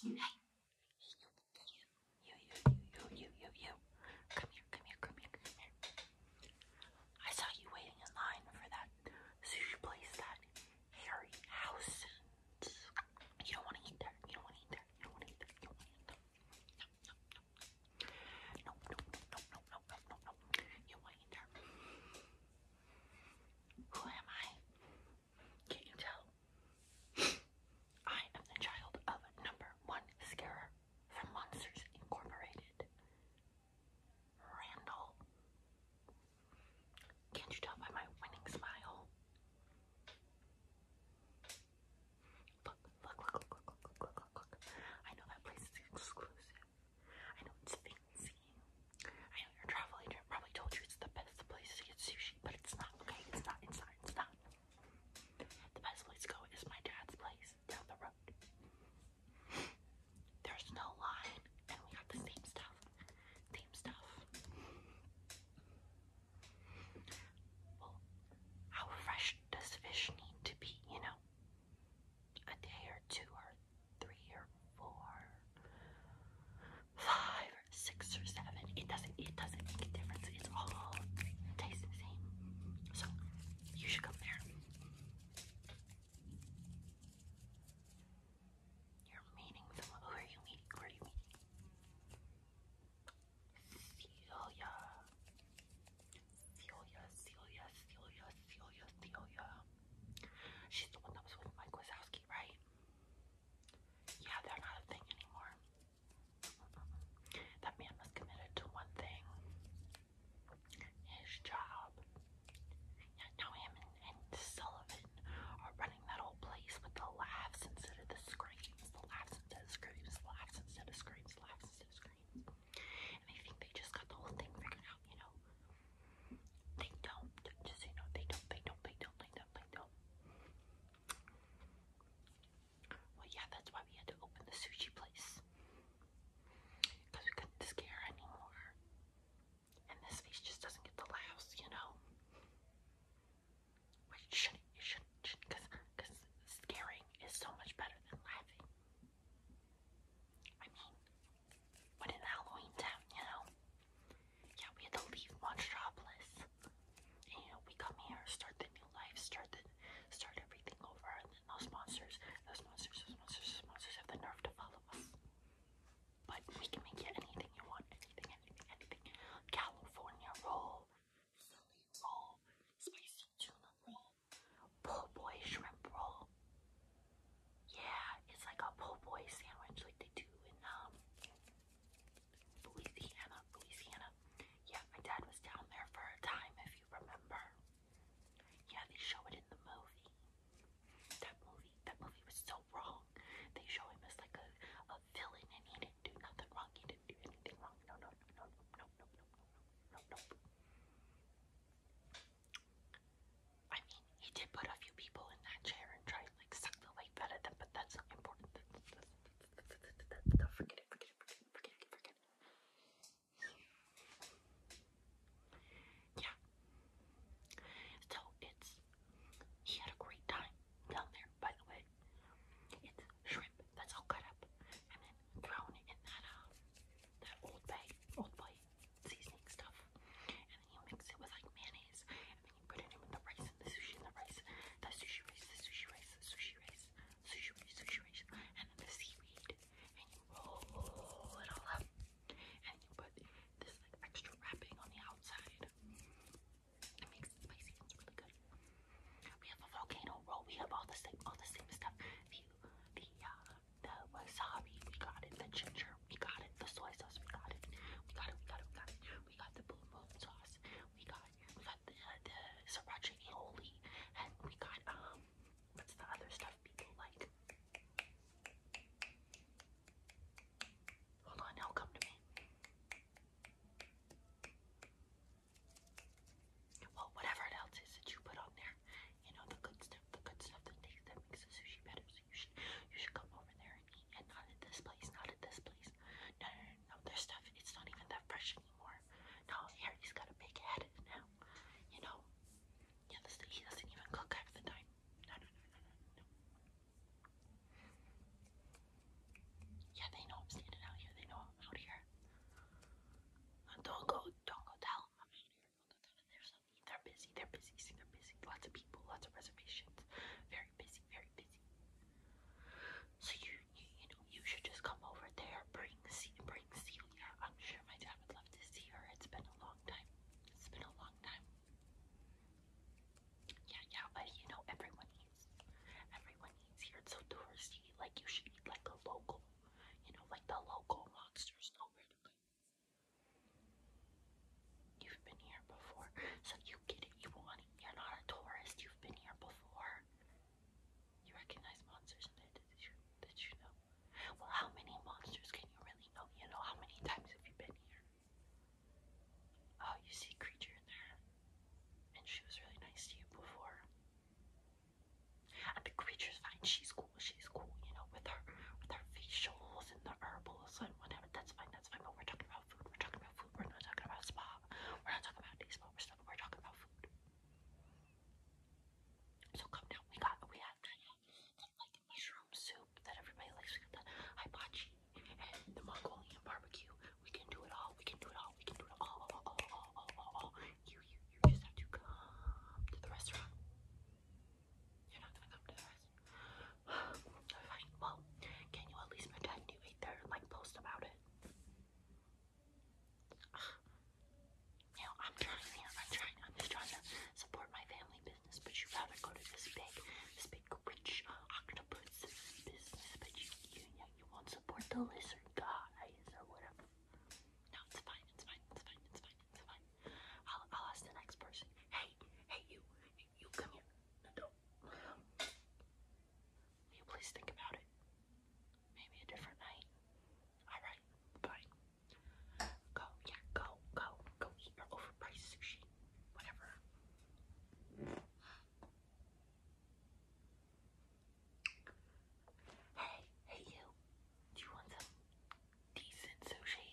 you, you, I saw you waiting in line for that sushi place, that Harry House. You don't want to eat there. You don't want to eat there. You don't want to eat there. No, no, no, no, no, no, no, no, You want to eat there. Who am I? Can you tell? I am the child of number one scarer from Monsters Incorporated. Randall. Can't you tell by my winning smile? Look, look, look, look, look, look, look, look, look. I know that place is exclusive. I know it's fancy. I know your travel agent probably told you it's the best place to get sushi, but it's not, okay? It's not, it's not, it's not. The best place to go is my dad's place down the road. There's no line, and we got the same stuff. Same stuff. Well, how fresh does fish need to be, you know? A day or two or three or four five, or six, or seven. It doesn't it doesn't make a difference. It's all tastes the same. So you should come there. You're meeting Who are you meeting? Who are you meeting? Celia. Celia, Celia, Celia, Celia, Celia. She's the one that was with Mike Wazowski, right? Yeah, they're not a thing anymore. That man was committed to one thing his job. now him and, Sullivan are running that whole place with the laughs instead of the screams, laughs instead of screams, laughs instead of screams, laughs instead of screams. And I think they just got the whole thing figured out, you know. They don't, just you know, they don't, they don't, they don't, they don't, they don't. Well, yeah, that's why we had to open the sushi place. we couldn't scare anymore. And this face just doesn't get the laughs, you know? Which shouldn't, shouldn't, because because scaring is so much better than laughing. I mean, what in Halloween town, you know? yeah, we had to leave Monstropolis. And you know, we come here, start the new life, start the start everything over, and then those monsters, those monsters, those monsters, monsters have the nerve to follow us. But we can make it anything you want, anything, anything, anything. California roll, Philly roll, spicy tuna roll, po' boy shrimp roll. Yeah, it's like a po' boy sandwich like they do in um Louisiana, Louisiana. Yeah, my dad was down there for a time, if you remember. Yeah, they show it in the movie. That movie, that movie was so wrong. They show him as like a, a villain, and he didn't do nothing wrong. He didn't do anything wrong. No, no, no, no, no, no, no, no, no, I mean, he did put a few people in that chair and try like suck the life out of them, but that's not important. Yeah. So it's he had a great time down there, by the way. It's shrimp that's all cut up and then thrown in that uh, that old bay, old bay seasoning stuff. And then you mix it with like mayonnaise putting in with the rice and the sushi and the rice, the sushi rice, the sushi rice, the sushi rice, sushi sushi rice, and then the seaweed, and you roll it all up, and you put this like extra wrapping on the outside. It makes it spicy. It's really good. We have a volcano roll. We have all the same, all the same stuff. The the uh, the wasabi. We got it. The ginger. We got it. The soy sauce. We got it. We got it. We got it. We got the blue moon sauce. We got we got the, the sriracha aioli, and we got, um, what's the other stuff people like? Hold on, it'll come to me. Well, whatever it else is that you put on there, you know, the good stuff, the good stuff that makes, that makes the sushi better. So you should, you should come over there and eat, and not at this place, not at this place. No, no, no, now their stuff, it's not even that fresh anymore. Now Harry's got a big head now. You know? Yeah, he doesn't even cook half the time. No, no, no, no, no, Yeah, they know I'm standing out here. They know I'm out here. Uh, don't go, don't go tell them I'm here. They're busy, they're busy, they're busy. Lots of people, lots of reservations. Very very busy, very busy. So you, you, know, you should just come over there. Bring, bring Celia. I'm sure my dad would love to see her. It's been a long time. It's been a long time. Yeah, yeah, but you know, everyone needs, Everyone needs here. It's so touristy. Like you should eat like a local. You know, like the local monsters You've been here before, so you get it. You want you're not a tourist. You've been here before. You recognize monsters in there. Did you, did you know? Well, how many monsters can you really know? You know, how many times have you been here? Oh, you see a creature in there. And she was really nice to you before. And the creature's fine. She's cool. She's cool, you know, with her with her facials and the herbals and whatever. That's fine. That's fine. But we're talking about we're talking about food. We're not talking about spa. We're not talking about days but we're, talking about food. So come down. We got we had mushroom soup that everybody likes. We got the hibachi and the Mongolian barbecue. We can do it all. We can do it all. We can do it all. You you you just have to come to the restaurant. You're not gonna come to the restaurant. Fine. Well, can you at least pretend you ate there and like post about it? You I'm trying, you I'm trying, I'm just trying to support my family business, but you'd rather go to this big, this big rich octopus business, but you, you, you won't support the lizard guys or whatever. No, it's fine, it's fine, it's fine, it's fine, it's fine. I'll, I'll ask the next person. Hey, hey, you, you, come here. No, Will you please think about it? Maybe a different night. Alright, fine. Go, yeah, go, go, go eat your overpriced sushi. Whatever. Hey, hey you. Do you want some decent sushi?